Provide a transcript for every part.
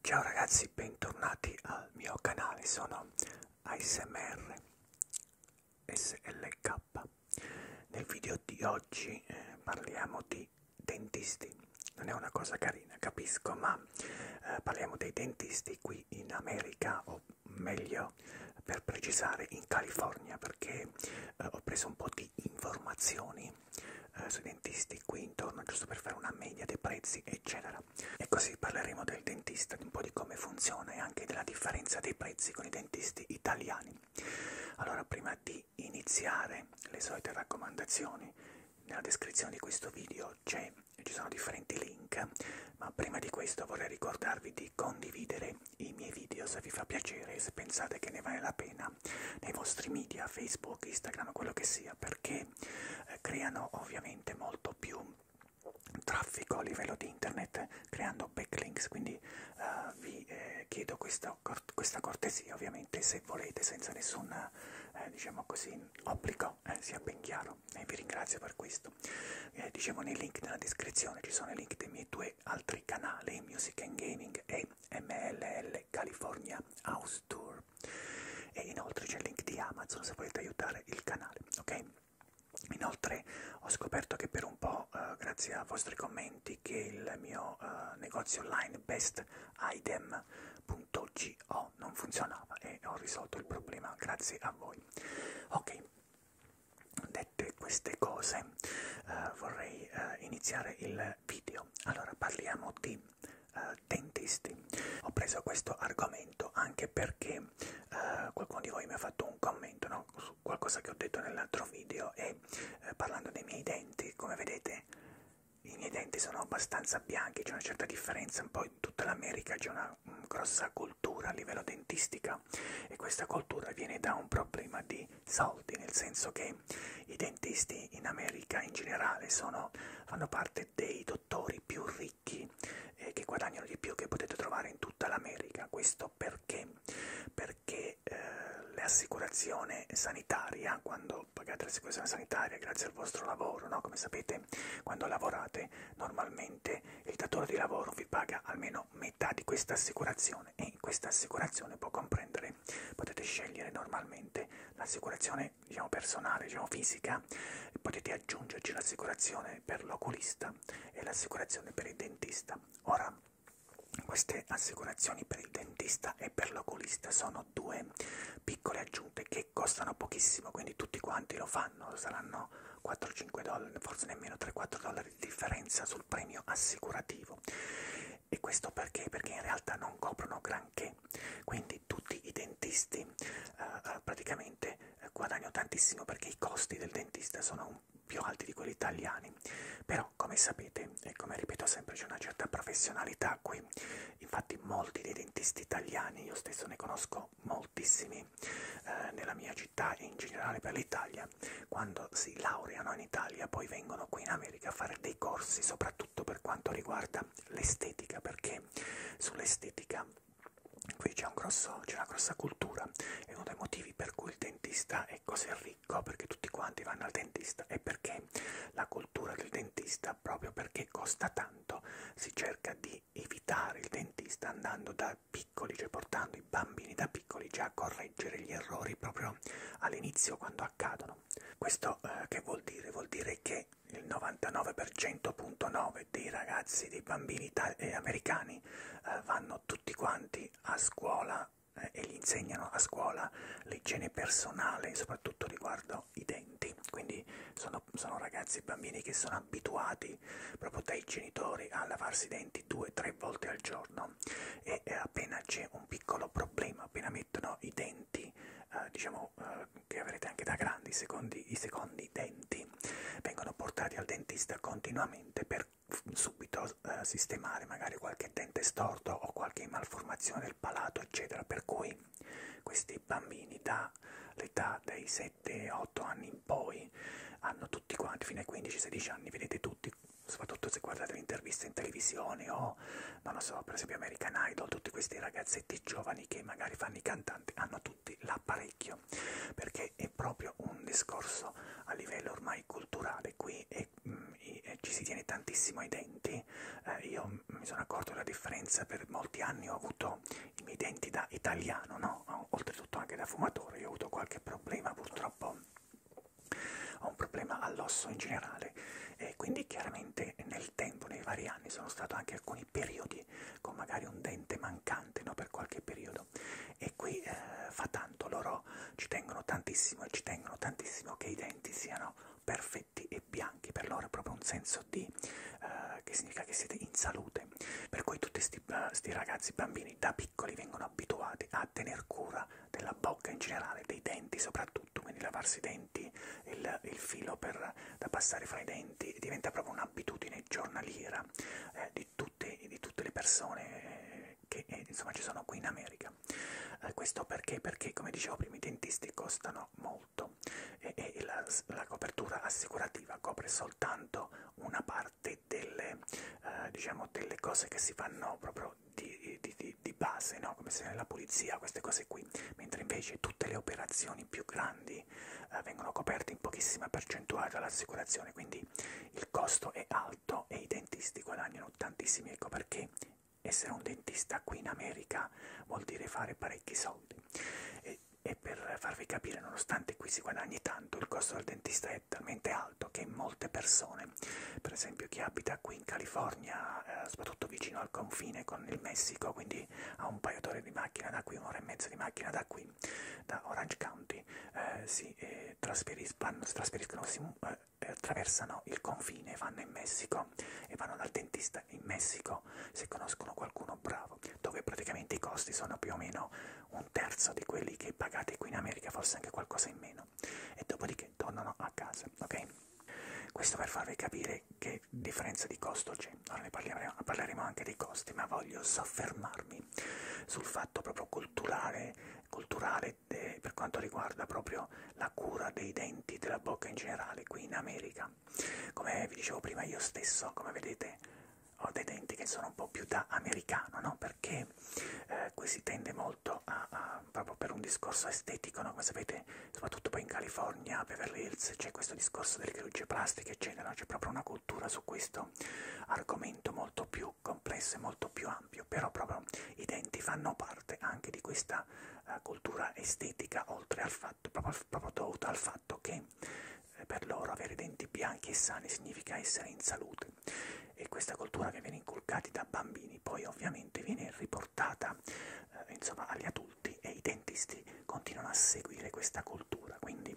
Ciao ragazzi, bentornati al mio canale, sono ASMR SLK. Nel video di oggi eh, parliamo di dentisti. Non è una cosa carina, capisco, ma eh, parliamo dei dentisti qui in America, o meglio, per precisare, in California, perché eh, ho preso un po' di informazioni eh, sui dentisti qui intorno, giusto per fare una media dei prezzi, eccetera. E così parleremo del dentista, di un po' di come funziona e anche della differenza dei prezzi con i dentisti italiani. Allora, prima di iniziare le solite raccomandazioni, nella descrizione di questo video c'è ci sono differenti link, ma prima di questo vorrei ricordarvi di condividere i miei video se vi fa piacere e se pensate che ne vale la pena nei vostri media, Facebook, Instagram, quello che sia, perché eh, creano ovviamente molto più traffico a livello di internet creando backlinks quindi uh, vi eh, chiedo questa, questa cortesia ovviamente se volete senza nessun eh, diciamo così obbligo eh, sia ben chiaro e vi ringrazio per questo eh, diciamo nei link nella descrizione ci sono i link dei miei due altri canali music and gaming e MLL California House Tour e inoltre c'è il link di Amazon se volete aiutare il canale, ok? Inoltre ho scoperto che per un po', eh, grazie a vostri commenti, che il mio eh, negozio online bestidem.go non funzionava e ho risolto il problema grazie a voi. Ok, dette queste cose eh, vorrei eh, iniziare il eh, video. Allora parliamo di eh, dentisti. Ho preso questo argomento anche perché eh, qualcuno di voi mi ha fatto un commento no? su qualcosa che ho detto nell'altro video e eh, parlando dei miei denti, come vedete i miei denti sono abbastanza bianchi, c'è una certa differenza, un po' in tutta l'America c'è una mm, grossa cultura a livello dentistica e questa cultura viene da un problema di soldi, nel senso che i dentisti in America in generale sono, fanno parte dei dottori più ricchi eh, che guadagnano di più che potete trovare in tutta l'America. Questo perché? Perché eh, l'assicurazione sanitaria, quando pagate l'assicurazione sanitaria grazie al vostro lavoro, no? come sapete quando lavorate normalmente il datore di lavoro vi paga almeno metà di questa assicurazione e questa assicurazione può comprendere assicurazione potete scegliere normalmente l'assicurazione diciamo, personale, diciamo fisica, potete aggiungerci l'assicurazione per l'oculista e l'assicurazione per il dentista. Ora, queste assicurazioni per il dentista e per l'oculista sono due piccole aggiunte che costano pochissimo, quindi tutti quanti lo fanno, saranno 4-5 dollari, forse nemmeno 3-4 dollari di differenza sul premio assicurativo e questo perché? Perché in realtà non coprono granché, quindi tutti i dentisti eh, eh praticamente eh, guadagnano tantissimo perché i costi del dentista sono più alti di quelli italiani, però come sapete e come ripeto sempre c'è una certa professionalità qui, infatti molti dei dentisti italiani, io stesso ne conosco moltissimi eh, nella mia città e in generale per l'Italia, quando si laureano in Italia poi vengono qui in America America a fare dei corsi soprattutto per quanto riguarda l'estetica perché sull'estetica qui c'è un una grossa cultura è uno dei motivi per cui il dentista è così ricco perché tutti quanti vanno al dentista e perché la cultura del dentista proprio perché costa tanto si cerca di evitare il dentista andando da piccoli cioè portando i bambini da piccoli già a correggere gli errori proprio all'inizio quando accadono. Questo eh, che vuol dire? Vuol dire che il 99,9% dei ragazzi, dei bambini eh, americani eh, vanno tutti quanti a scuola eh, e gli insegnano a scuola l'igiene personale, soprattutto riguardo i denti. Quindi sono, sono ragazzi, bambini che sono abituati proprio dai genitori a lavarsi i denti due o tre volte al giorno e eh, appena c'è un piccolo problema appena mettono i denti, eh, diciamo eh, che avrete anche da grandi, secondi, i secondi denti vengono portati al dentista continuamente per subito eh, sistemare magari qualche dente storto o qualche malformazione del palato, eccetera. Per cui questi bambini dall'età dei 7-8 anni in poi hanno tutti quanti, fino ai 15-16 anni, vedete tutti, soprattutto se guardate le interviste in televisione o non lo so, per esempio American Idol, tutti questi ragazzetti giovani che magari fanno i cantanti, hanno tutti l'apparecchio, perché è proprio un discorso a livello ormai culturale, qui è, mm, è, eh, ci si tiene tantissimo ai denti, eh, io mi sono accorto della differenza, per molti anni ho avuto i miei denti da italiano, no? oltretutto anche da fumatore, io ho avuto qualche problema purtroppo ho un problema all'osso in generale e quindi chiaramente nel tempo, nei vari anni, sono stato anche alcuni periodi con magari un dente mancante no, per qualche periodo e qui eh, fa tanto, loro ci tengono tantissimo e ci tengono tantissimo che i denti siano perfetti e bianchi, per loro è proprio un senso di eh, che significa che siete in salute, per cui tutti questi eh, ragazzi bambini da piccoli vengono abituati a tener cura della bocca in generale, dei denti soprattutto, quindi lavarsi i denti, il, il filo per, da passare fra i denti, diventa proprio un'abitudine giornaliera eh, di, tutte, di tutte le persone che eh, insomma ci sono qui in America. Eh, questo perché? Perché come dicevo prima i dentisti costano molto e, e la, la copertura assicurativa copre soltanto una parte delle, eh, diciamo, delle cose che si fanno proprio lavoro di, di, di, di base, no? come se la pulizia, queste cose qui, mentre invece tutte le operazioni più grandi eh, vengono coperte in pochissima percentuale dall'assicurazione, quindi il costo è alto e i dentisti guadagnano tantissimi, ecco perché essere un dentista qui in America vuol dire fare parecchi soldi. E, e per farvi capire, nonostante qui si guadagni tanto, il costo del dentista è talmente alto che molte persone, per esempio chi abita qui qui in California, eh, soprattutto vicino al confine con il Messico, quindi a un paio d'ore di macchina da qui, un'ora e mezza di macchina da qui, da Orange County, eh, si, eh, trasferis vanno, si trasferiscono, si eh, attraversano il confine, vanno in Messico e vanno dal dentista in Messico se conoscono qualcuno bravo, dove praticamente i costi sono più o meno un terzo di quelli che pagate qui in America, forse anche qualcosa in meno giorno e dopodiché tornano a casa, ok? Questo per farvi capire che differenza di costo c'è. Ora ne parleremo, parleremo anche dei costi, ma voglio soffermarmi sul fatto proprio culturale, culturale de, per quanto riguarda proprio la cura dei denti, della bocca in generale, qui in America. Come vi dicevo prima io stesso, come vedete ho dei denti che sono un po' più da americano, no? Perché eh, qui si tende molto molto a, a, proprio per un discorso estetico, no? come sapete, soprattutto poi in California, a Beverly Hills, c'è questo discorso delle chirurgie plastiche, eccetera, c'è proprio una cultura su questo argomento molto più complesso e molto più ampio, però proprio i denti fanno parte anche di questa uh, cultura estetica, oltre al fatto, proprio, proprio dovuto al fatto che eh, per loro avere denti bianchi e sani significa essere in salute e questa cultura che viene inculcata da bambini poi ovviamente viene riportata portata eh, insomma, agli adulti e i dentisti continuano a seguire questa cultura, quindi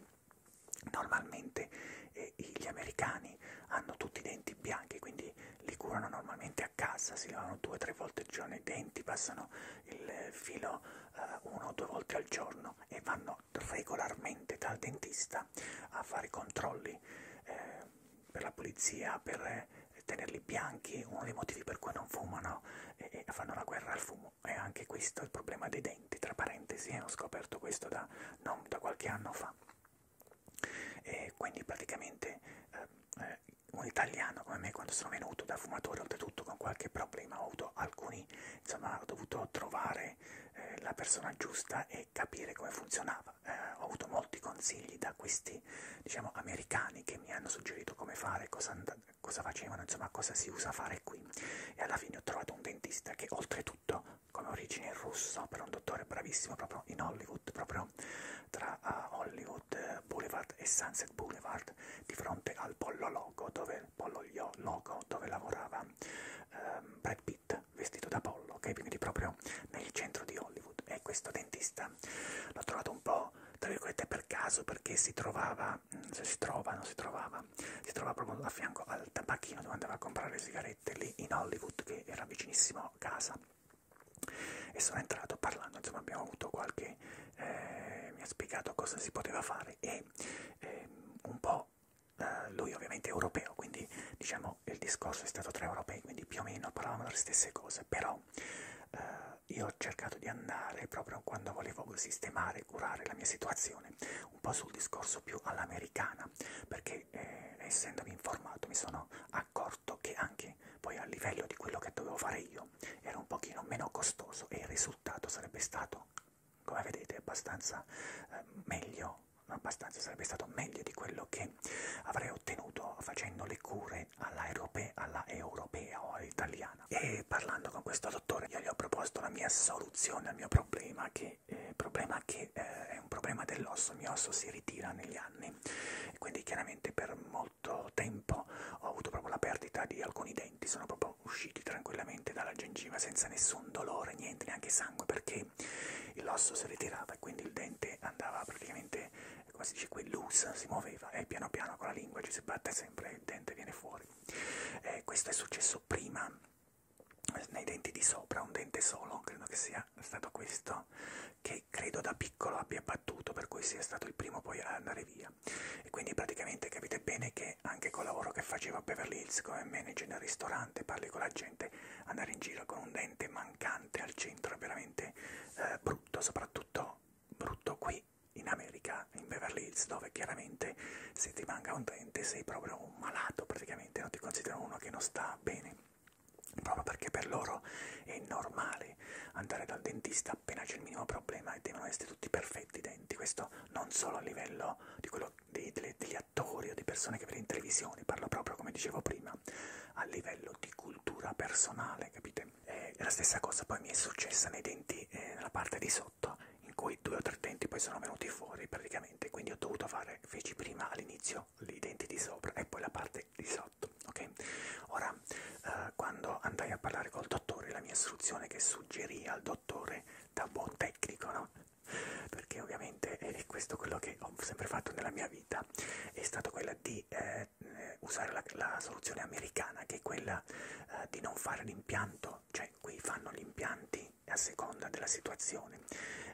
normalmente eh, gli americani hanno tutti i denti bianchi, quindi li curano normalmente a casa, si lavano due o tre volte al giorno i denti, passano il filo eh, una o due volte al giorno e vanno regolarmente dal dentista a fare controlli eh, per la pulizia, per eh, tenerli bianchi, uno dei motivi per cui non fumano e, e fanno la guerra al fumo. E anche questo è il problema dei denti, tra parentesi, eh, ho scoperto questo da, non, da qualche anno fa. E quindi praticamente eh, eh, un italiano come me quando sono venuto da fumatore oltretutto con qualche problema ho avuto alcuni, insomma ho dovuto trovare eh, la persona giusta e capire come funzionava eh, ho avuto molti consigli da questi diciamo americani che mi hanno suggerito come fare, cosa, cosa facevano, insomma cosa si usa fare qui e alla fine ho trovato un dentista che oltretutto come origine russo, però un dottore bravissimo proprio in Hollywood, proprio tra uh, Hollywood eh, Boulevard e Sunset Boulevard di fronte al Pollo Logo dove, Pollo Logo, dove lavorava um, Brad Pitt vestito da pollo, ok? quindi proprio nel centro di Hollywood e questo dentista Italia. L'ho trovato un po' tra virgolette per caso perché si trovava, se si trova, non si trovava, si trovava proprio a fianco al tabacchino dove andava a comprare le sigarette lì in Hollywood che era vicinissimo a casa e sono entrato parlando, insomma abbiamo avuto qualche, eh, mi ha spiegato cosa si poteva fare e eh, un po' eh, lui ovviamente è europeo, quindi diciamo il discorso è stato tra europei, quindi più o meno parlavamo delle stesse cose, però no. Eh, io ho cercato di andare proprio quando volevo sistemare, curare la mia situazione, un po' sul discorso più all'americana, perché eh, essendomi informato mi sono accorto che anche poi a livello di quello che dovevo fare io era un pochino meno costoso e il risultato sarebbe stato, come vedete, abbastanza eh, meglio, abbastanza sarebbe stato meglio di quello che che avrei ottenuto facendo le cure alla, europea, alla europea o all'italiana. E parlando con questo dottore io gli ho proposto la mia soluzione al mio problema, che, eh, problema che eh, è un problema dell'osso, il mio osso si ritira negli anni. E quindi chiaramente per molto tempo ho avuto proprio la perdita di alcuni denti, sono proprio usciti tranquillamente dalla gengiva senza nessun dolore, niente, neanche sangue, perché l'osso si ritirava e quindi il dente andava praticamente come si dice, quell'us si muoveva e piano piano con la lingua ci si batte sempre e il dente viene fuori. Eh, questo è successo prima nei denti di sopra, un dente solo, credo che sia stato questo, che credo da piccolo abbia battuto, per cui sia stato il primo poi a andare via. E quindi praticamente capite bene che anche col lavoro che facevo a Beverly Hills come manager nel ristorante, parli con la gente, andare in giro con un dente mancante al centro è veramente eh, brutto, soprattutto tutto brutto qui in America, in Beverly Hills, dove chiaramente se ti manca un dente sei proprio un malato, praticamente non ti considerano uno che non sta bene, proprio perché per loro è normale andare dal dentista appena c'è il minimo problema e devono essere tutti perfetti i denti, questo non solo a livello di quello dei, delle, degli attori o di persone che vedi in televisione, parlo proprio come dicevo prima, a livello di cultura personale, capite? eh, la stessa cosa poi mi è successa nei denti, eh, nella parte di sotto, in cui due o tre denti poi sono venuti fuori praticamente, quindi ho dovuto fare, feci prima all'inizio i denti di sopra e poi la parte di sotto, ok? Ora, eh, quando andai a parlare col dottore, la mia istruzione che suggerì al dottore, da buon tecnico, no? Perché ovviamente è questo quello che ho sempre fatto nella mia vita, è stato quella di... Eh, eh, usare la, la soluzione americana che è quella eh, di non fare l'impianto, cioè qui fanno gli impianti a seconda della situazione,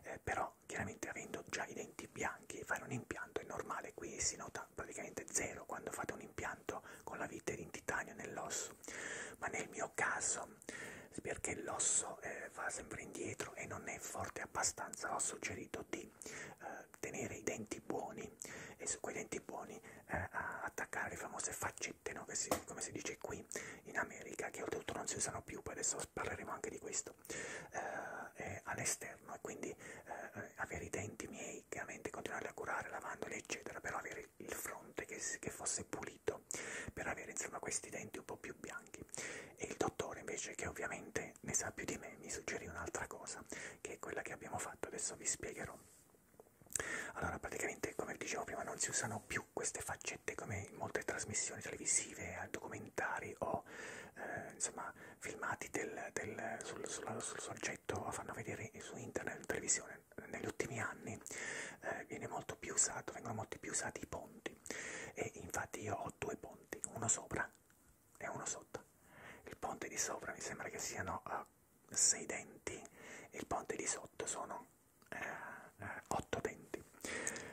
eh, però chiaramente avendo già i denti bianchi fare un impianto è normale, qui si nota praticamente zero quando fate un impianto con la vite in titanio nell'osso, ma nel mio caso perché l'osso eh, va sempre indietro e non è forte abbastanza ho suggerito di eh, tenere i denti buoni e su quei denti buoni eh, attaccare le famose faccette, no? che si, come si dice qui in America, che oltretutto non si usano più, poi adesso parleremo anche di questo, eh, eh all'esterno e quindi eh, avere i denti miei, chiaramente continuare a curare, lavandoli eccetera, però avere il fronte che, che fosse pulito per avere insomma questi denti un po' più bianchi. E il dottore invece che ovviamente che ne sa più di me mi suggerì un'altra cosa, che è quella che abbiamo fatto, adesso vi spiegherò. Allora, praticamente, come dicevo prima, non si usano più queste faccette come in molte trasmissioni televisive, eh, documentari o eh, insomma filmati del, del, sul, sul, sul soggetto fanno vedere su internet in televisione. Negli ultimi anni eh, viene molto più usato, vengono molto più usati i ponti. E infatti io ho due ponti, uno sopra e uno sotto. Il ponte di sopra mi sembra che siano uh, eh, 6 denti e il ponte di sotto sono 8 uh, uh, denti.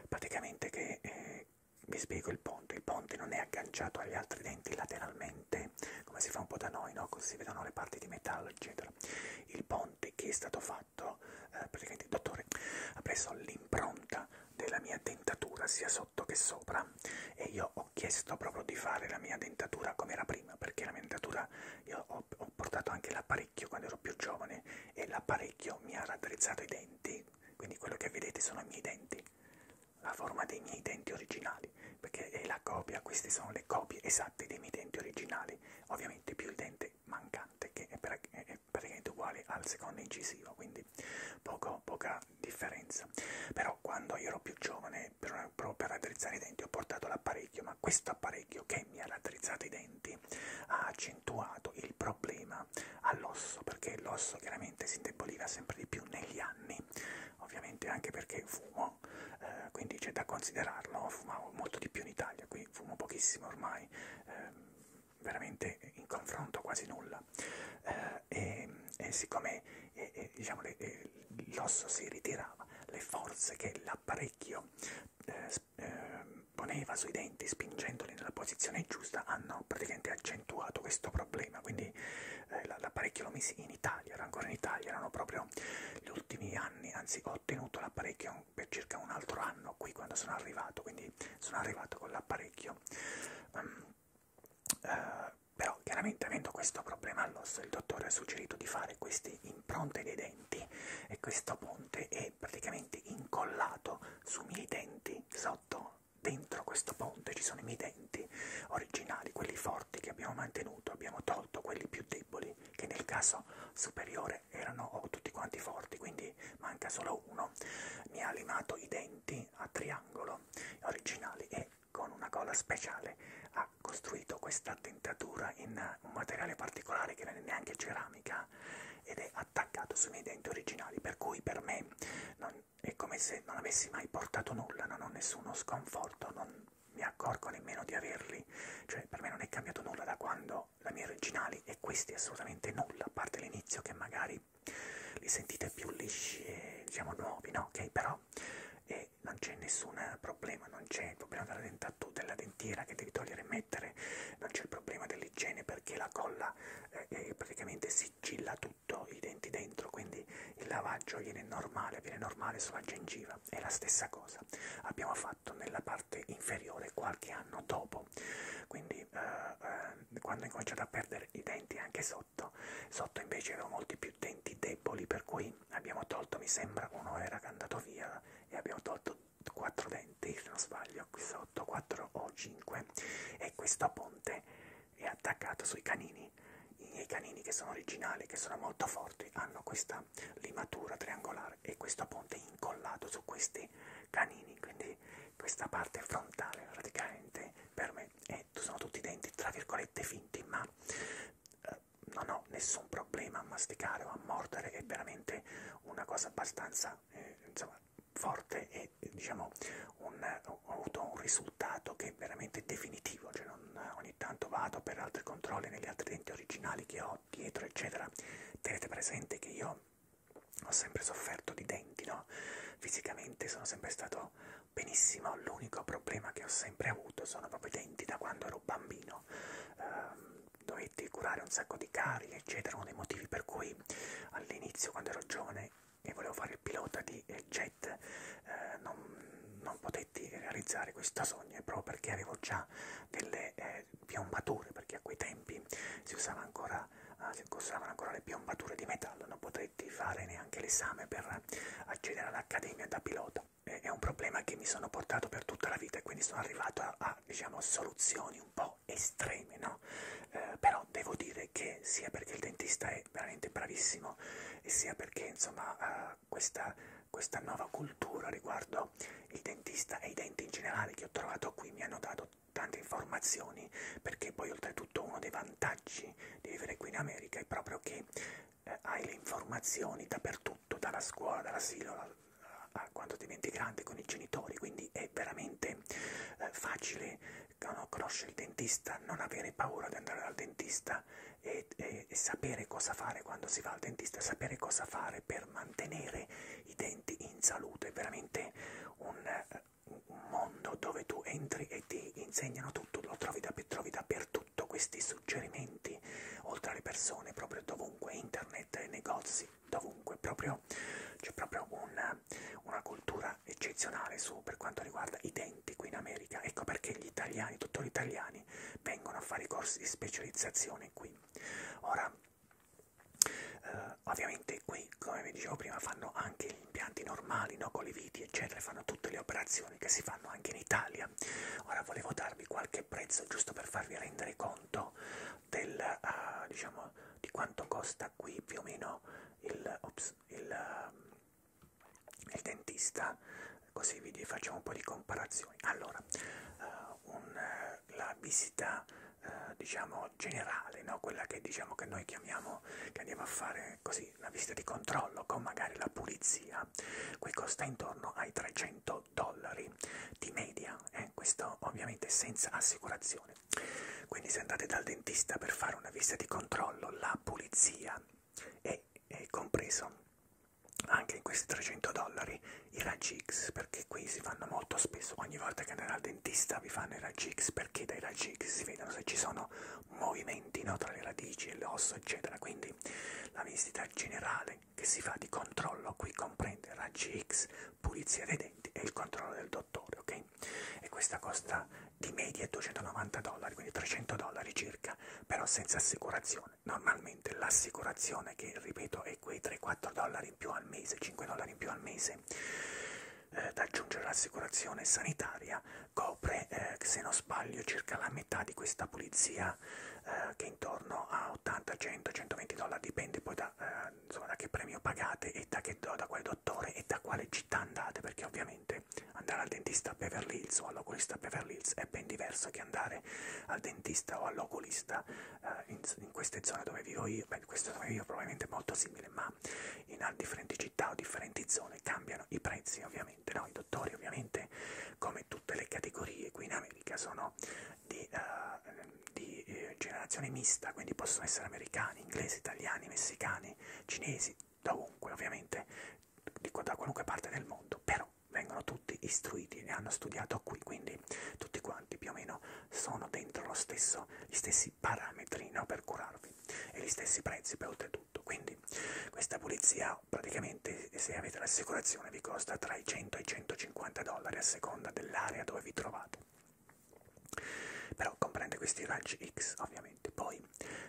Praticamente che eh, vi spiego il ponte, il ponte non è agganciato agli altri denti lateralmente, come si fa un po' da noi, no? così si vedono le parti di metallo, eccetera. Il ponte che è stato fatto, eh, praticamente il dottore ha preso l'impronta della mia dentatura sia sotto che sopra e io ho chiesto proprio di fare la mia dentatura come era prima perché la mia dentatura io ho, ho portato anche l'apparecchio quando ero più giovane e l'apparecchio mi ha raddrizzato i denti quindi quello che vedete sono i miei denti la forma dei miei denti originali perché è la copia queste sono le copie esatte dei miei denti originali ovviamente più il dente mancante che è, per, è praticamente uguale al secondo incisivo quindi quindi poco, poca differenza. Però quando io ero più giovane, per, proprio per raddrizzare i denti, ho portato l'apparecchio, ma questo apparecchio che mi ha raddrizzato i denti ha accentuato il problema all'osso, perché l'osso chiaramente si indeboliva sempre di più negli anni, ovviamente anche perché fumo, eh, quindi c'è da considerarlo, fumavo molto di più in Italia, qui fumo pochissimo ormai. Eh, veramente in confronto quasi nulla struttura eh, e, e siccome eh, eh diciamo, eh, l'osso si ritirava, le forze che l'apparecchio eh, eh, poneva sui denti spingendoli nella posizione giusta hanno praticamente accentuato questo problema, quindi eh, l'apparecchio lo misi in Italia, era ancora in Italia, erano proprio gli ultimi anni, anzi ho ottenuto l'apparecchio per circa un altro anno qui quando sono arrivato, quindi sono arrivato con l'apparecchio. Um, eh, però chiaramente avendo questo problema all'osso il dottore ha suggerito di fare queste impronte dei denti e questo ponte è praticamente incollato sui miei denti sotto dentro questo ponte ci sono i miei denti originali quelli forti che abbiamo mantenuto abbiamo tolto quelli più deboli che nel caso superiore erano oh, tutti quanti forti quindi manca solo uno mi ha limato i denti a triangolo originali e con una colla speciale ha costruito questa dentatura in un materiale particolare che non è neanche ceramica ed è attaccato sui miei denti originali per cui per me non, è come se non avessi mai portato nulla non ho nessuno sconforto non mi accorgo nemmeno di averli cioè per me non è cambiato nulla da quando la mia originali e questi assolutamente nulla a parte l'inizio che magari voi li sentite più lisci e diciamo nuovi, no? Ok, però e non c'è nessun problema, non c'è il problema della dentatura, della dentiera che devi togliere e mettere, non c'è il problema dell'igiene perché la colla eh, praticamente sigilla tutto i denti dentro, quindi il lavaggio viene normale, viene normale sulla gengiva, è la stessa cosa. Abbiamo fatto nella parte inferiore qualche anno dopo, quindi eh, eh, quando ho incominciato a perdere i denti anche sopra sotto, sotto invece avevo molti più denti deboli per cui abbiamo tolto, mi sembra uno era che è andato via e abbiamo tolto 4 denti se non sbaglio qui sotto 4 o 5 e questo ponte è attaccato sui canini i miei canini che sono originali che sono molto forti hanno questa limatura triangolare e questo ponte è incollato su questi canini quindi questa parte frontale praticamente per me e sono tutti denti tra virgolette finti, ma eh, non ho nessun problema a masticare o a mordere, è veramente una cosa abbastanza eh, insomma, forte e diciamo un, ho avuto un risultato che è veramente definitivo, cioè non, ogni tanto vado per altri controlli negli altri denti originali che ho dietro eccetera, tenete presente che io ho sempre sofferto di denti, no? Fisicamente sono sempre stato tutto benissimo, l'unico problema che ho sempre avuto sono proprio i denti da quando ero bambino. Eh, dovetti curare un sacco di carie, eccetera, uno dei motivi per cui all'inizio quando ero giovane e volevo fare il pilota di eh, jet eh, non, non potetti realizzare questo sogno, è proprio perché avevo già delle eh, piombature, perché a quei tempi si usava ancora, eh, si usavano ancora le piombature di metallo, non potevi potetti fare neanche l'esame per accedere all'accademia da pilota. È un problema che mi sono portato per tutta la vita e quindi sono arrivato a, a diciamo, soluzioni un po' estreme, no? Eh, però devo dire che sia perché il dentista è veramente bravissimo e sia perché, insomma, eh, questa, questa nuova cultura riguardo il dentista e i denti in generale che ho trovato qui mi hanno dato tante informazioni perché poi oltretutto uno dei vantaggi di, di vivere qui in America è proprio che eh, hai le informazioni dappertutto, dalla scuola, dall'asilo, a, a, a quando diventi grande con i genitori, quindi è veramente eh, facile no, conoscere il dentista, non avere paura di andare dal dentista e, e, e sapere cosa fare quando si va al dentista, sapere cosa fare per mantenere i denti in salute, è veramente un eh, un mondo dove tu entri e ti insegnano tutto, lo trovi, da, trovi dappertutto questi suggerimenti, oltre alle persone, proprio dovunque, internet, negozi, dovunque, proprio c'è proprio una, una cultura eccezionale su, per quanto riguarda i denti qui in America, ecco perché gli italiani, tutti gli italiani, vengono a fare i corsi di specializzazione qui. Ora, Uh, ovviamente qui, come vi dicevo prima, fanno anche impianti normali, no? con le viti, eccetera, fanno tutte le operazioni che si fanno anche in Italia. Ora volevo darvi qualche prezzo giusto per farvi rendere conto del, uh, diciamo, di quanto costa qui più o meno il, ops, il, uh, il dentista, così vi facciamo un po' di comparazioni. Allora, uh, un, uh, la visita diciamo generale, no? quella che diciamo che noi chiamiamo, che andiamo a fare così quindi una visita di controllo con magari la pulizia, qui costa intorno ai 300 dollari di media, eh? questo ovviamente senza assicurazione. Quindi se andate dal dentista per fare una visita di controllo, la pulizia è, è compreso anche in questi 300 dollari i raggi X perché qui si fanno molto spesso ogni volta che andate al dentista vi fanno i raggi X perché dai raggi X si vedono se ci sono movimenti no, tra le radici e l'osso, eccetera. Quindi la visita generale che si fa di controllo qui comprende raggi X, pulizia dei denti e il controllo del dottore, ok? E questa costa di media 290 dollari, quindi 300 dollari circa, però senza assicurazione. Normalmente l'assicurazione che ripeto è quei 3-4 dollari in più al mese, 5 dollari in più al mese eh, da aggiungere l'assicurazione sanitaria copre, eh, se non sbaglio, circa la metà di questa pulizia eh, che è intorno a 80, 100, 120 dollari, dipende poi da, eh, insomma, da che premio pagate e da, che, da quale dottore e da quale città andate, perché ovviamente andare al dentista a Beverly Hills o all'oculista a Beverly Hills è ben diverso che andare al dentista o all'oculista eh, in, in queste zone dove vivo io, beh, questa dove vivo probabilmente è molto simile, ma città, in differenti città o differenti zone cambiano i prezzi ovviamente, no? i dottori ovviamente come tutte le categorie qui in America sono di, uh, di eh, generazione mista, quindi possono essere americani, inglesi, italiani, messicani, cinesi, dovunque ovviamente, di, da qualunque parte del mondo, però vengono tutti istruiti e hanno studiato qui, quindi tutti quanti più o meno sono dentro lo stesso, gli stessi parametri no, per curarvi e gli stessi prezzi per oltretutto tutto. Quindi questa pulizia praticamente se avete l'assicurazione vi costa tra i 100 e i 150 dollari a seconda dell'area dove vi trovate. Però comprende questi raggi X ovviamente. Poi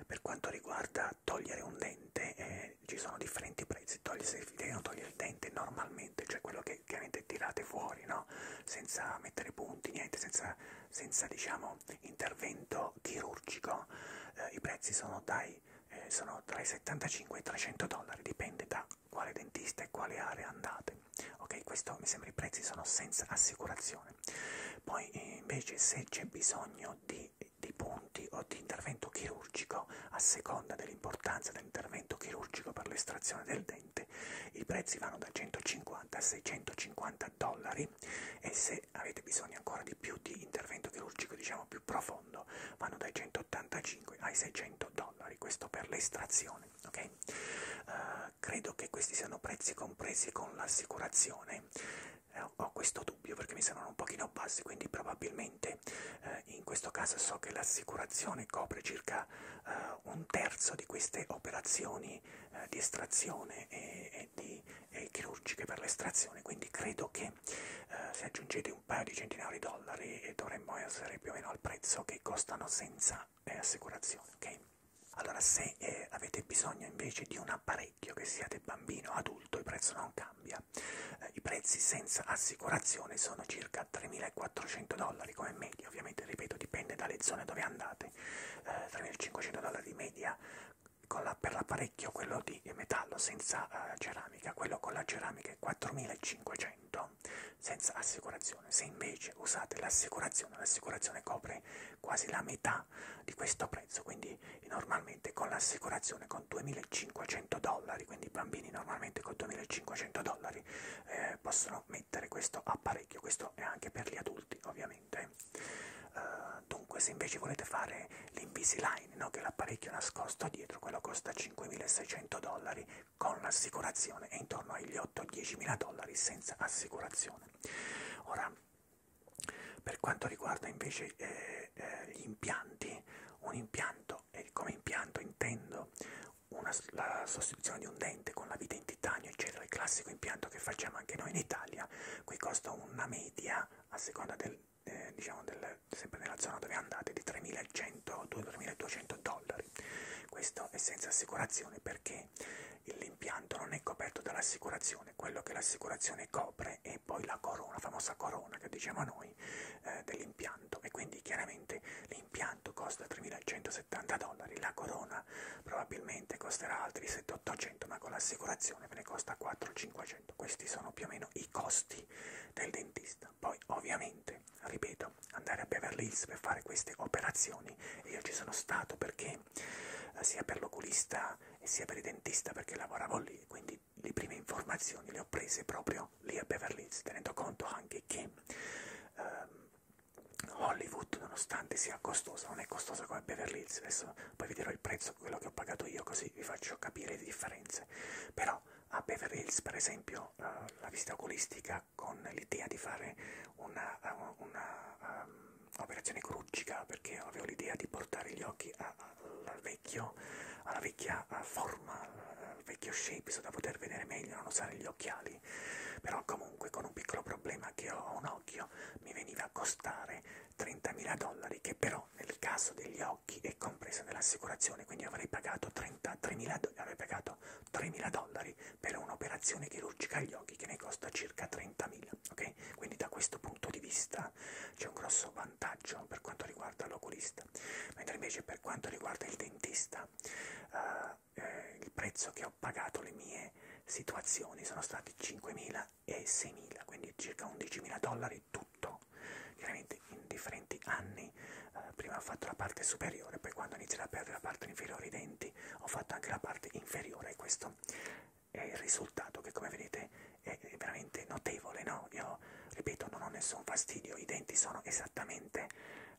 per quanto riguarda togliere un dente eh, ci sono differenti prezzi. Togli, se vi devono togliere il dente normalmente, cioè quello che chiaramente tirate fuori, no? senza mettere punti, niente, senza, senza diciamo questo intervento chirurgico eh, i prezzi sono, dai, eh, sono tra i 75 e i 300 dollari, dipende da quale dentista e quale area andate. Ok, questo mi sembra i prezzi sono senza assicurazione. Poi eh, invece se c'è bisogno di, di punti o di intervento chirurgico, a seconda dell'importanza dell'intervento chirurgico per l'estrazione del dente, i prezzi vanno da 150 a 650 dollari particolari e se avete bisogno ancora di più di intervento chirurgico diciamo più profondo vanno dai 185 ai 600 dollari questo per l'estrazione ok uh, credo che questi siano prezzi compresi con l'assicurazione eh, ho questo dubbio perché mi sembrano un pochino bassi quindi probabilmente eh, in questo caso so che l'assicurazione copre circa eh, un terzo di queste operazioni eh, di estrazione e, e e di eh, chirurgiche per l'estrazione, quindi credo che eh, se aggiungete un paio di centinaia di dollari eh, dovremmo essere più o meno al prezzo che costano senza eh, assicurazione, ok? Allora se eh, avete bisogno invece di un apparecchio che siate bambino o adulto il prezzo non cambia, eh, i prezzi senza assicurazione sono circa 3.400 dollari come media, ovviamente ripeto dipende dalle zone dove andate, eh, 3.500 dollari di media con la, per l'apparecchio quello di metallo senza uh, ceramica, quello con la ceramica è 4500 senza assicurazione. Se invece usate l'assicurazione, l'assicurazione copre quasi la metà di questo prezzo, quindi normalmente con l'assicurazione con 2500 dollari, quindi i bambini normalmente con 2500 dollari eh, possono mettere questo apparecchio, questo è anche per gli adulti ovviamente inoltre. Uh, eh, dunque se invece volete fare l'Invisalign, no? che è l'apparecchio nascosto dietro, quello costa 5.600 dollari con l'assicurazione e intorno agli 8-10.000 dollari senza assicurazione. Ora, per quanto riguarda invece eh, eh, gli impianti, un impianto, e come impianto intendo una, la sostituzione di un dente con la vite in titanio, eccetera, il classico impianto che facciamo anche noi in Italia, qui costa una media a seconda del, eh, diciamo del, sempre nella zona dove andate di 3.100-2.200 dollari questo è senza assicurazione perché l'impianto non è coperto dall'assicurazione quello che l'assicurazione copre è poi la corona, la famosa corona che diciamo noi eh, dell'impianto e quindi chiaramente l'impianto costa 3.170 dollari la corona macchina probabilmente costerà altri 700-800 ma con l'assicurazione ve ne costa 400-500 questi sono più o meno i costi del dentista poi ovviamente ripeto andare a Beverly Hills per fare queste operazioni e io ci sono stato perché eh, sia per l'oculista e sia per il dentista perché lavoravo lì quindi le prime informazioni le ho prese proprio lì a Beverly Hills tenendo conto anche che ehm, Hollywood nonostante nonostante sia costosa, non è costosa come Beverly Hills, adesso poi vi dirò il prezzo, quello che ho pagato io, così vi faccio capire le differenze, però a Beverly Hills per esempio uh, la visita oculistica con l'idea di fare una, eh, un'operazione ehm, um, chirurgica, perché avevo l'idea di portare gli occhi a, a, al vecchio, alla vecchia eh, forma, al vecchio shape, so da poter vedere meglio, non usare gli occhiali, però comunque con un piccolo problema che ho a un occhio mi veniva a costare 30.000 dollari che però nel caso degli occhi è compreso nell'assicurazione, quindi avrei pagato 33.000 avrei pagato 3.000 dollari per un'operazione chirurgica agli occhi che ne costa circa 30.000, ok? Quindi da questo punto di vista c'è un grosso vantaggio per quanto riguarda l'oculista, mentre invece per quanto riguarda il dentista eh, eh, il prezzo che ho pagato le mie situazioni sono stati 5.000 e 6.000, quindi circa 11.000 dollari tutto, chiaramente in differenti anni, eh, prima ho fatto la parte superiore, poi quando ho iniziato a perdere la parte inferiore i denti ho fatto anche la parte inferiore e questo è il risultato che come vedete è veramente notevole, no? Io ripeto non ho nessun fastidio, i denti sono esattamente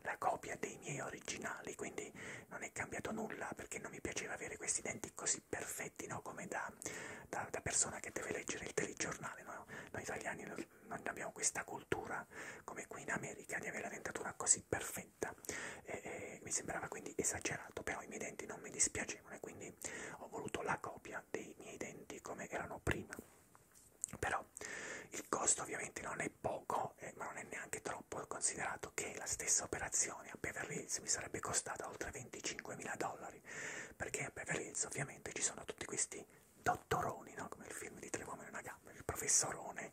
la copia dei miei originali, quindi non è cambiato nulla perché non mi piaceva avere questi denti commenti così perfetti, no? Come da, da, da persona che deve leggere il telegiornale, no? Noi italiani non abbiamo questa cultura, come qui in America, di avere la dentatura così perfetta. E, e, mi sembrava quindi esagerato, però i miei denti non mi dispiacevano e quindi ho voluto la copia dei miei denti come erano prima. Però il costo ovviamente non è poco, eh, ma non è neanche troppo, considerato calcolato che la stessa operazione a Beverly Hills mi sarebbe costata oltre 25.000 dollari, perché a Beverly Hills ovviamente ci sono tutti questi dottoroni, no? come il film di Tre uomini e una gamba, il professorone,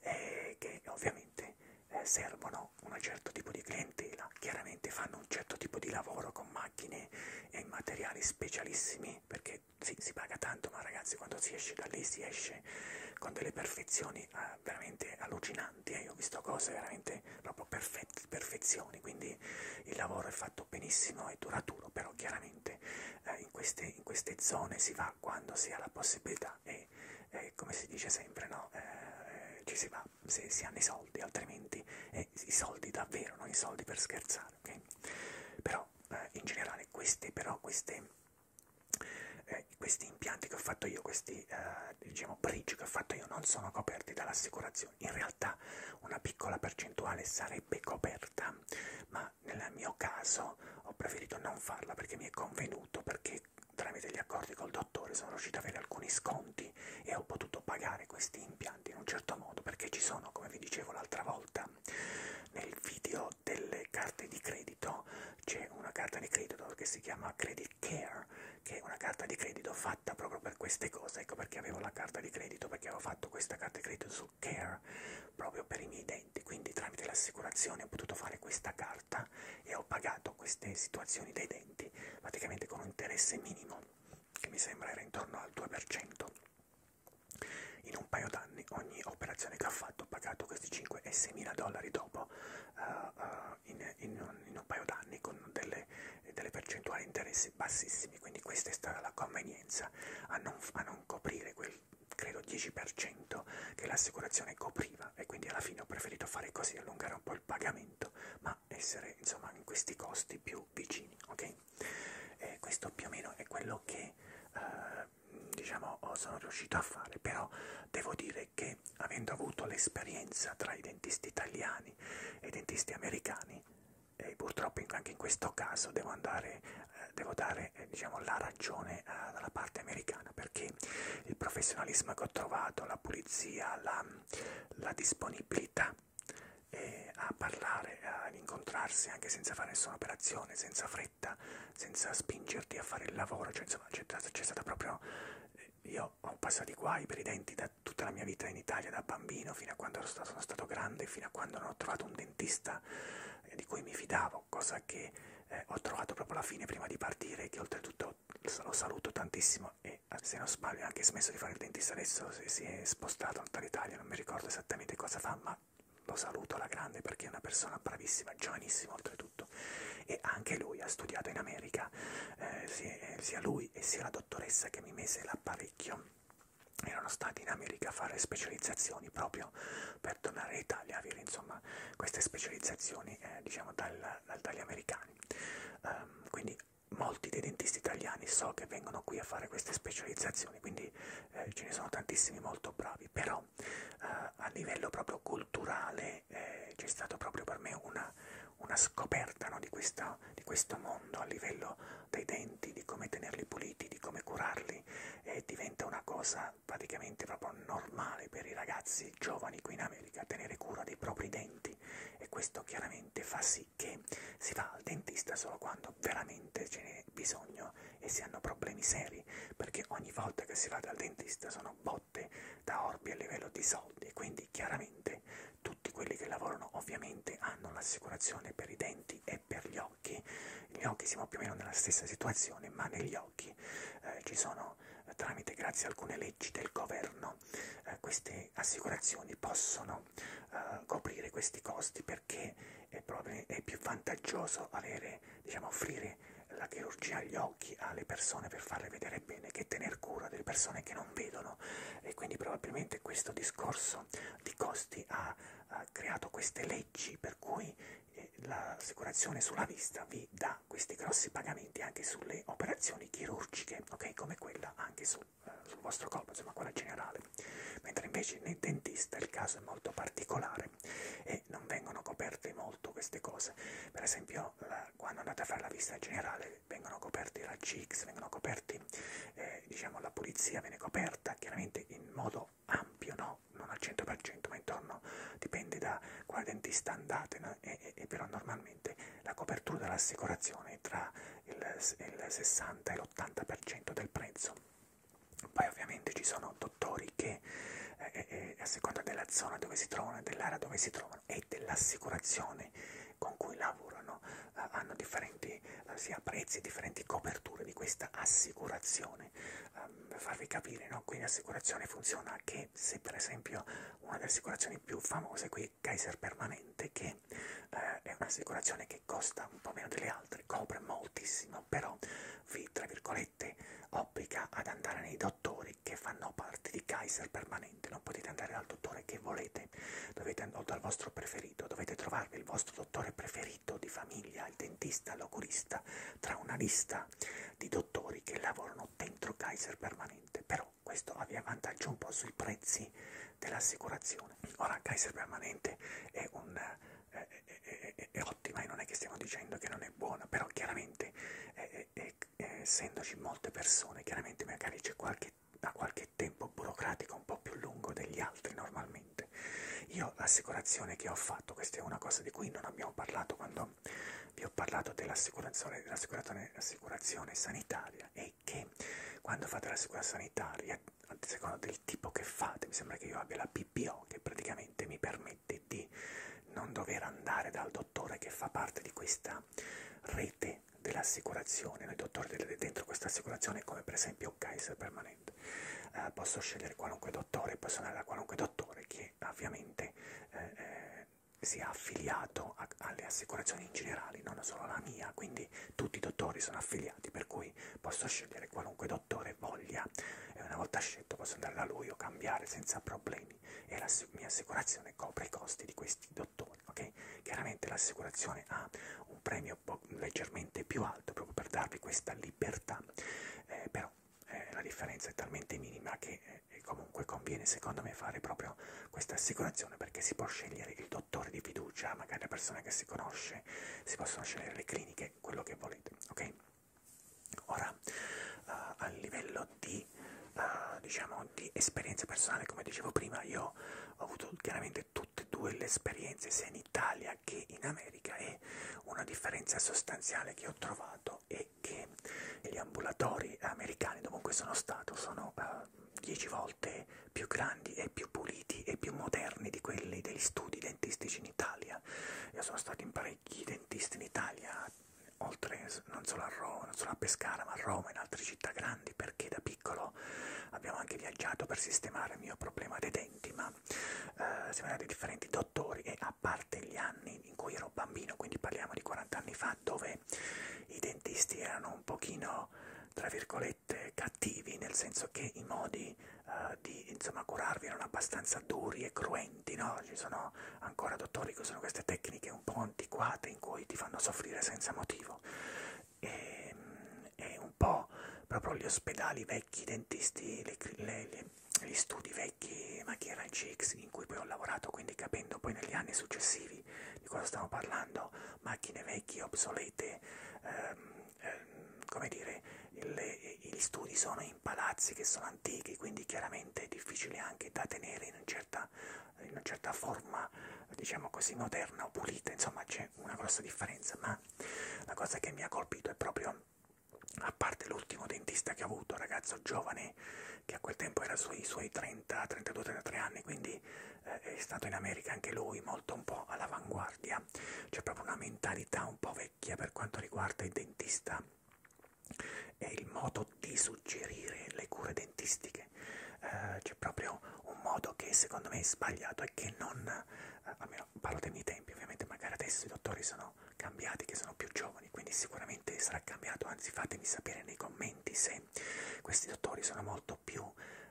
eh, che ovviamente eh, servono un certo tipo di clientela, chiaramente fanno un certo tipo di lavoro con macchine e materiali specialissimi, perché sì, si paga tanto, ma ragazzi quando si esce da lì si esce con delle perfezioni eh, veramente allucinanti brillanti e eh. io ho visto cose veramente proprio perfette, perfezioni, quindi il lavoro è fatto benissimo e duraturo, però chiaramente eh, in, queste, in queste zone si va quando si ha la possibilità e eh, come si dice sempre, no? Eh, eh, ci si va se si hanno i soldi, altrimenti eh, i soldi davvero, non i soldi per scherzare, ok? Però eh, in generale queste, però queste... Eh, questi impianti che ho fatto io, questi eh, diciamo, prigio che ho fatto io non sono coperti dall'assicurazione. In realtà una piccola percentuale sarebbe coperta, ma nel mio caso ho preferito non farla perché mi è convenuto, perché tramite gli accordi col dottore sono riuscito ad avere alcuni sconti e ho potuto pagare questi impianti in un certo modo, perché ci sono, come vi dicevo l'altra volta, nel video delle carte di credito c'è una carta di credito che si chiama Credit Care che è una carta di credito fatta proprio per queste cose, ecco perché avevo la carta di credito, perché avevo fatto questa carta di credito su Care proprio per i miei denti, quindi tramite l'assicurazione ho potuto fare questa carta e ho pagato queste situazioni dei denti praticamente con un interesse minimo che mi sembra era intorno al 2%. In un paio d'anni ogni operazione che ho fatto ho pagato questi 5 e 6 mila dollari dopo. Uh, uh, in, in, un, in un paio d'anni con delle, delle percentuali di interessi bassissimi, quindi questa è stata la convenienza a non, a non coprire quel credo 10% che l'assicurazione copriva e quindi alla fine ho preferito fare così, allungare un po' il pagamento, ma essere insomma in questi costi più vicini, ok? E questo più o meno è quello che eh, diciamo sono riuscito a fare, però devo dire dire che avendo avuto l'esperienza tra i dentisti italiani e i dentisti americani, e purtroppo anche in questo caso devo, andare, eh, devo dare eh, diciamo, la ragione eh, dalla parte americana perché il professionalismo che ho trovato, la pulizia, la, la disponibilità eh, a parlare, ad incontrarsi anche senza fare nessuna operazione, senza fretta, senza spingerti a fare il lavoro, cioè insomma c'è stata proprio io ho passato i guai per i denti da tutta la mia vita in Italia, da bambino fino a quando sono stato, sono stato grande, fino a quando non ho trovato un dentista eh, di cui mi fidavo, cosa che eh, ho trovato proprio alla fine prima di partire, che oltretutto lo saluto tantissimo e eh, se non sbaglio ha anche smesso di fare il dentista adesso, si è spostato dall'Italia, non mi ricordo esattamente cosa fa, ma lo saluto alla grande perché è una persona bravissima, giovanissima oltretutto tutto. E anche lui ha studiato in America, eh, sia lui e sia la dottoressa che mi mise l'apparecchio erano stati in America a fare specializzazioni proprio per tornare in Italia a avere insomma queste specializzazioni eh, diciamo dal, dal, dagli americani. Um, quindi molti dei dentisti italiani so che vengono qui a fare queste specializzazioni, quindi eh, ce ne sono tantissimi molto bravi, però eh, a livello proprio culturale eh, c'è stato proprio per me una, una scoperta no, di, questa, di questo mondo a livello dei denti, di come tenerli puliti, di come curarli, e diventa una cosa praticamente proprio normale per i ragazzi giovani qui in America, tenere cura dei propri denti e questo chiaramente fa sì che si va al dentista solo quando veramente ce n'è bisogno e si hanno problemi seri, perché ogni volta che si va dal dentista sono botte da orbi a livello di soldi, quindi chiaramente dente. Tutti quelli che lavorano ovviamente hanno l'assicurazione per i denti e per gli occhi. Gli occhi siamo più o meno nella stessa situazione, ma negli occhi eh, ci sono, eh, tramite grazie a alcune leggi del governo, eh, queste assicurazioni possono eh, coprire questi costi perché è, proprio, è più vantaggioso avere, diciamo, offrire la chirurgia agli occhi alle persone per farle vedere è bene che tener cura delle persone che non vedono e quindi probabilmente questo discorso di costi ha, ha creato queste leggi per cui eh, l'assicurazione sulla vista vi dà questi grossi pagamenti anche sulle operazioni chirurgiche, ok? Come quella anche sul, eh, sul vostro corpo, insomma quella generale. Mentre invece nel dentista il caso è molto particolare e non vengono coperte molto queste cose. Per esempio la, quando andate a fare la vista generale vengono coperti i raggi X, vengono coperti, eh, diciamo, la pulizia viene coperta chiaramente in modo ampio, no? Non al 100%, ma intorno dipende da quale dentista andate, no? e, e, e però normalmente la copertura dell'assicurazione è tra il, il 60 e l'80% del prezzo. Poi ovviamente ci sono dottori che, eh, eh, eh, a seconda della zona dove si trovano e dell'area dove si trovano, e e dell'assicurazione con cui lavorano eh, hanno differenti eh, sia prezzi, differenti coperture di questa assicurazione. Eh, per farvi capire, no? quindi l'assicurazione funziona che se per esempio una delle assicurazioni più famose qui è Kaiser Permanente, che eh, è un'assicurazione che costa un po' meno delle altre, copre moltissimo, però vi, tra virgolette, obbliga ad andare nei dottori che fanno parte di Kaiser permanente, non potete andare dal dottore che volete, dovete, o dal vostro preferito, dovete trovarvi il vostro dottore preferito di famiglia, il dentista, l'oculista, tra una lista di dottori che lavorano dentro Kaiser permanente, però questo vi avvantaggia un po' sui prezzi dell'assicurazione. Ora Kaiser permanente è un... Eh, è, è, è, è ottima e non è che stiamo dicendo che non è buona, però chiaramente è, è, e, eh, essendoci molte persone, chiaramente magari c'è qualche, a qualche tempo burocratico un po' più lungo degli altri normalmente. Io l'assicurazione che ho fatto, questa è una cosa di cui non abbiamo parlato quando vi ho parlato dell'assicurazione dell sanitaria, è che quando fate l'assicurazione sanitaria, a seconda del tipo che fate, mi sembra che io abbia la PPO che praticamente mi permette di non dover andare dal dottore che fa parte di questa una rete dell'assicurazione, noi dottori dentro questa assicurazione come per esempio Kaiser Permanente, eh, posso scegliere qualunque dottore, posso andare da qualunque dottore che ovviamente eh, eh, sia affiliato a, alle assicurazioni in generale, non solo alla mia, quindi tutti i dottori sono affiliati, per cui posso scegliere qualunque dottore voglia e una volta scelto posso andare da lui o cambiare senza problemi anni e la mia assicurazione copre i costi di questi dottori, ok? Chiaramente l'assicurazione ha un premio leggermente più alto proprio per darvi questa libertà, eh, però eh, la differenza è talmente minima che eh, comunque conviene secondo me fare proprio questa assicurazione perché si può scegliere il dottore di fiducia, magari la persona che si conosce, si possono scegliere le cliniche, quello che volete, ok? Ora, uh, a livello di di, uh, eh, diciamo, di esperienza personale, come dicevo prima, io ho avuto chiaramente tutte e due le esperienze, sia in Italia che in America, e una differenza sostanziale che ho trovato è che gli ambulatori americani, dovunque sono stato, sono uh, eh, 10 volte più grandi e più puliti e più moderni di quelli degli studi dentistici in Italia. Io sono stato in parecchi dentisti in Italia, oltre non solo a Roma, non solo a Pescara, ma a Roma e in altre città grandi, perché da piccolo abbiamo anche viaggiato per sistemare il mio problema dei denti, ma eh, siamo andati a differenti dottori e a parte gli anni in cui ero bambino, quindi parliamo di 40 anni fa, dove i dentisti erano un pochino, tra virgolette, cattivi, nel senso che i modi eh, di insomma, curarvi erano abbastanza duri e cruenti, no? Ci sono ancora dottori che usano queste tecniche momenti un po' antiquati in cui ti fanno soffrire senza motivo e, e mm, un po' proprio gli ospedali vecchi, i dentisti, le, le, le, gli studi vecchi, ma che era il CX in cui poi ho lavorato, quindi capendo poi negli anni successivi di cosa stiamo parlando, macchine vecchie, obsolete, ehm, ehm, come dire, le, gli studi sono in palazzi che sono antichi, quindi chiaramente è difficile anche da tenere in un certo certa, in una certa forma, diciamo così, moderna o pulita, insomma c'è una grossa differenza, ma la cosa che mi ha colpito è proprio, a parte l'ultimo dentista che ho avuto, ragazzo giovane, che a quel tempo era sui suoi 30, 32, 33 anni, quindi eh, è stato in America anche lui molto un po' all'avanguardia, c'è proprio una mentalità un po' vecchia per quanto riguarda il dentista e il modo di suggerire le cure dentistiche perché eh, c'è proprio un modo che secondo me è sbagliato e che non, eh, almeno parlo dei miei tempi ovviamente, magari adesso i dottori sono cambiati, che sono più giovani, quindi sicuramente sarà cambiato, anzi fatemi sapere nei commenti se questi dottori sono molto più,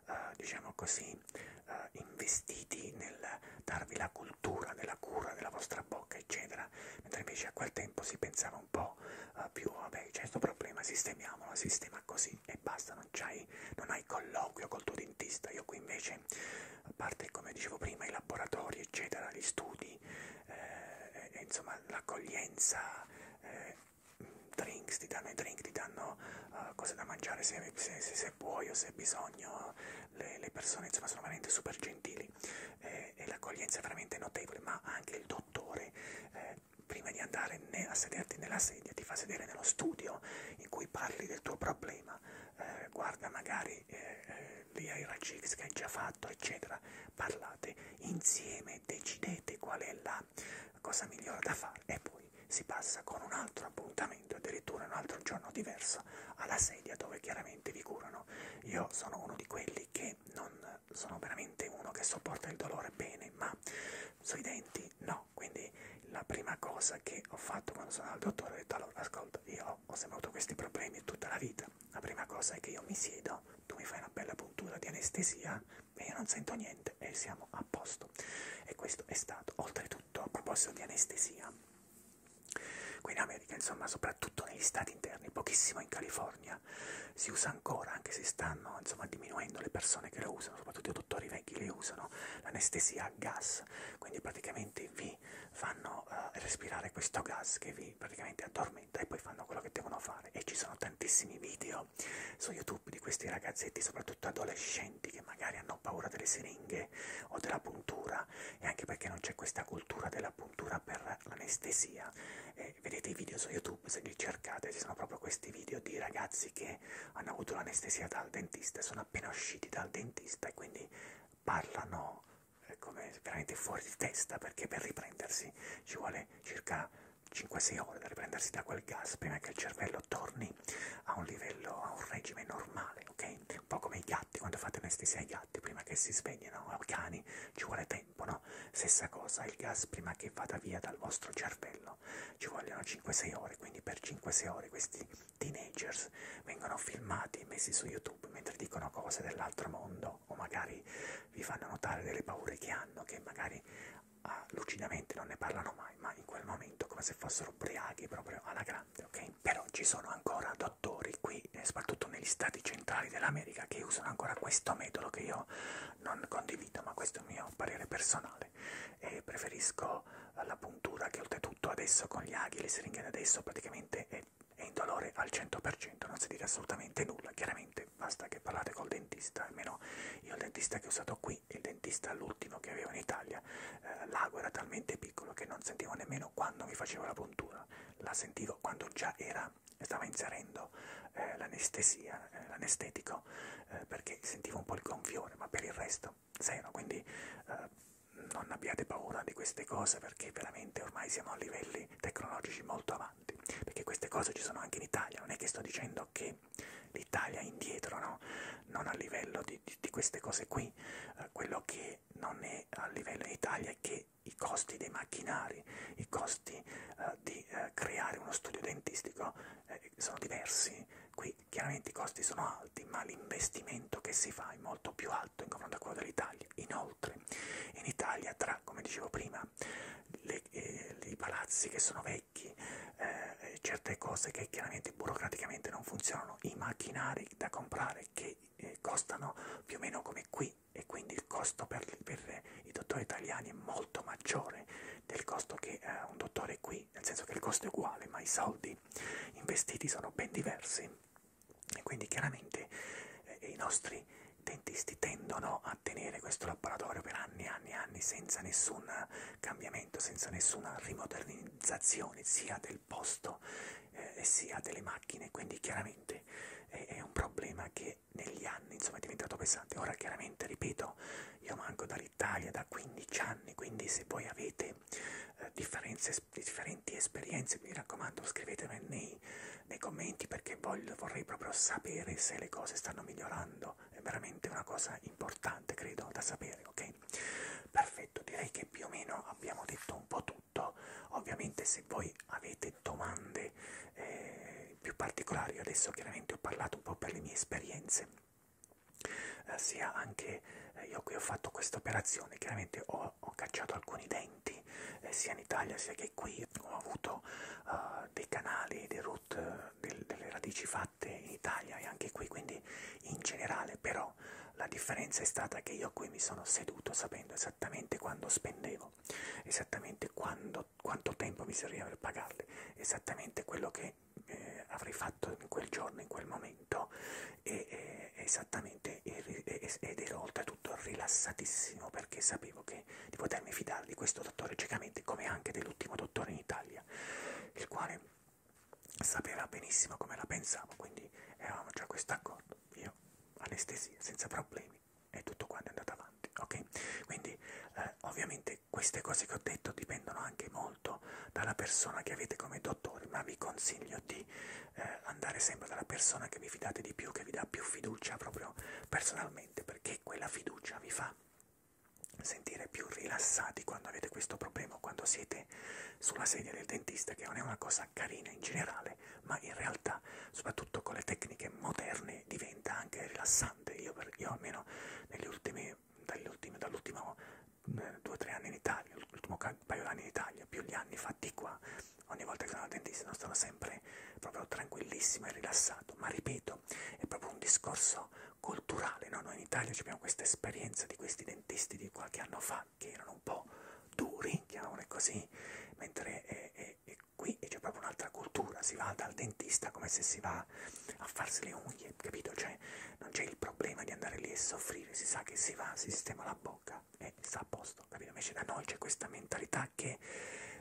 eh, diciamo così, eh, investiti nel darvi la cultura, nella cura della vostra bocca, eccetera, mentre invece a quel tempo si pensava un po' uh, più vabbè c'è questo problema, sistemiamolo, sistema così e basta, non, non hai colloquio col tuo dentista. Io qui invece, a parte come dicevo prima, i laboratori, eccetera, gli studi, eh, e, insomma l'accoglienza, eh, drinks, ti danno i drink, ti danno uh, cose da mangiare se, se, se, se puoi o se hai bisogno, le, le persone insomma sono veramente super gentili eh, e l'accoglienza è veramente notevole, ma anche il dottore. Eh, prima di andare né a sederti nella sedia, ti fa sedere nello studio in cui parli del tuo problema, eh, guarda magari eh, eh, lì ai raggi X che hai già fatto, eccetera, parlate insieme, decidete qual è la cosa migliore da fare e poi si passa con un altro appuntamento, addirittura un altro giorno diverso, alla sedia dove chiaramente vi curano. Io sono uno di quelli che non sono veramente uno che sopporta il dolore bene, ma sui denti no. Quindi la prima cosa che ho fatto quando sono al dottore ho detto allora ascolta, io ho sempre avuto questi problemi tutta la vita. La prima cosa è che io mi siedo, tu mi fai una bella puntura di anestesia e io non sento niente e siamo a posto. E questo è stato, oltretutto, a proposito di anestesia. Qui in America, insomma, soprattutto negli stati interni, pochissimo in California, ancora, si usa ancora, anche se stanno insomma diminuendo le persone che lo usano, soprattutto i dottori vecchi le usano, l'anestesia a gas, quindi praticamente vi fanno uh, respirare questo gas che vi praticamente addormenta e poi fanno quello che devono fare e ci sono tantissimi video su YouTube di questi ragazzetti, soprattutto adolescenti che magari hanno paura delle siringhe o della puntura e anche perché non c'è questa cultura della puntura per l'anestesia se vedete i video su YouTube, se li cercate, ci sono proprio questi video di ragazzi che hanno avuto l'anestesia dal dentista, sono appena usciti dal dentista e quindi parlano eh, come veramente fuori di testa perché per riprendersi ci vuole circa 5-6 ore da riprendersi da quel gas prima che il cervello torni a un livello, a un regime normale, ok? Un po' come i gatti, quando fate anestesia ai gatti prima che si svegliano, ai cani, ci vuole tempo tempo, no? Stessa cosa, il gas prima che vada via dal vostro cervello ci vogliono 5-6 ore, quindi per 5-6 ore questi teenagers vengono filmati e messi su YouTube mentre dicono cose dell'altro mondo o magari vi fanno notare delle paure che hanno, che magari ah, lucidamente non ne parlano mai, ma in quel momento come se fossero ubriachi proprio alla grande, ok? Però ci sono ancora dottori qui, soprattutto negli stati centrali dell'America, che usano ancora questo metodo che io non condivido, ma questo è il mio parere personale e preferisco la puntura che oltretutto adesso con gli aghi, le siringhe adesso praticamente è, è indolore al 100%, non si dica assolutamente nulla, chiaramente basta che parlate col dentista, almeno io il dentista che ho usato qui, il dentista l'ultimo che avevo in Italia, eh, l'ago era talmente piccolo che non sentivo nemmeno quando mi facevo la puntura, la sentivo quando già era stava, stava inserendo eh, l'anestesia, eh, l'anestetico, eh, perché sentivo un po' il gonfiore, ma per il resto zero, quindi eh, non abbiate paura di queste cose perché veramente ormai siamo a livelli tecnologici molto avanti, perché queste cose ci sono anche in Italia, non è che sto dicendo che l'Italia è indietro, no? Non a livello di, di, di queste cose qui, eh, quello che non è a livello in Italia è che i costi dei macchinari, i costi eh, di di eh, creare uno studio dentistico eh, sono diversi, qui chiaramente i costi sono alti, ma l'investimento che si fa è molto più alto in confronto a quello dell'Italia. Inoltre, in Italia tra, come dicevo prima, le, eh, i palazzi che sono vecchi, eh, certe cose che chiaramente burocraticamente non funzionano, i macchinari da comprare che eh, costano più o meno come qui e quindi il costo per, per i dottori italiani è molto maggiore del costo che eh, un dottore qui, nel senso che il costo è uguale, ma i soldi investiti sono ben diversi. E quindi chiaramente eh, i nostri dentisti tendono a tenere questo laboratorio per anni e anni e anni senza nessun cambiamento, senza nessuna rimodernizzazione sia del posto eh, sia delle macchine, quindi chiaramente è, eh, è un problema che che negli anni insomma è diventato pesante. Ora chiaramente, ripeto, io manco dall'Italia da 15 anni, quindi se voi avete eh, differenti esperienze, mi raccomando scrivetemi nei, nei commenti perché voglio, vorrei proprio sapere se le cose stanno migliorando. È veramente una cosa importante, credo, da sapere, ok? Perfetto, direi che più o meno abbiamo detto un po' tutto. Ovviamente se voi avete chiedete domande eh, più particolari. Io adesso chiaramente ho parlato un po' per le mie esperienze, eh, sia anche eh, io qui ho fatto questa operazione, chiaramente ho, ho cacciato alcuni denti, eh, sia in Italia sia che qui ho avuto eh, dei canali, dei root, eh, del, delle radici fatte in Italia e anche qui, quindi in generale, però la differenza è stata che io qui mi sono seduto sapendo esattamente quando spendevo, esattamente quando quando, quanto tempo mi serviva per pagarli, esattamente quello che eh, avrei fatto in quel giorno, in quel momento, e, e, esattamente, ed ero oltretutto rilassatissimo perché sapevo che, di potermi fidare di questo dottore ciecamente, come anche dell'ultimo dottore in Italia, il quale sapeva benissimo come la pensavo, quindi eravamo già a questo accordo, io anestesia senza problemi e tutto quanto è andato avanti, ok? Quindi eh, ovviamente queste cose che ho detto dipendono anche molto dalla persona che avete come dottore, ma vi consiglio di eh, andare sempre dalla persona che vi fidate di più, che vi dà più fiducia proprio personalmente, perché quella fiducia vi fa sentire più rilassati quando avete questo problema, quando siete sulla sedia del dentista, che non è una cosa carina in generale, ma in realtà, soprattutto con le tecniche moderne, diventa anche rilassante grande. Io, per, io almeno negli ultimi, ultimi dall'ultimo eh, due o tre anni in Italia, l'ultimo paio d'anni in Italia, più gli anni fatti qua, ogni volta che sono al dentista sono stato sempre proprio tranquillissimo e rilassato. Ma ripeto, è proprio un discorso culturale, no? noi in Italia abbiamo questa esperienza di questi dentisti di qualche anno fa che erano un po' duri, chiamiamole così, mentre è, è, è qui c'è proprio un'altra cultura, si va dal dentista come se si va a farsi le unghie, capito? Cioè non c'è il problema di andare lì e soffrire, si sa che si va, si sistema la bocca e sta a posto, capito? Invece da noi c'è questa mentalità che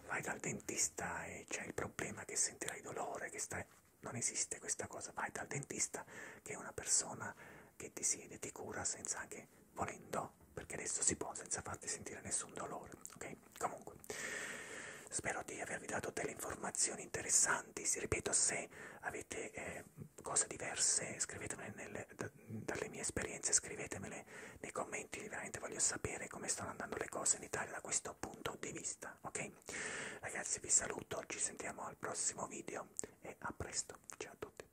vai dal dentista e c'è il problema che sentirai dolore, che stai... non esiste questa cosa, vai dal dentista che è una persona che ti siede, ti cura senza anche volendo, perché adesso si può senza farti sentire nessun dolore, ok? Comunque, Spero di avervi dato delle informazioni interessanti, si ripeto se avete eh, cose diverse scrivetemele nelle, da, dalle mie esperienze, scrivetemele nei commenti, veramente voglio sapere come stanno andando le cose in Italia da questo punto di vista, ok? Ragazzi vi saluto, ci sentiamo al prossimo video e a presto, ciao a tutti!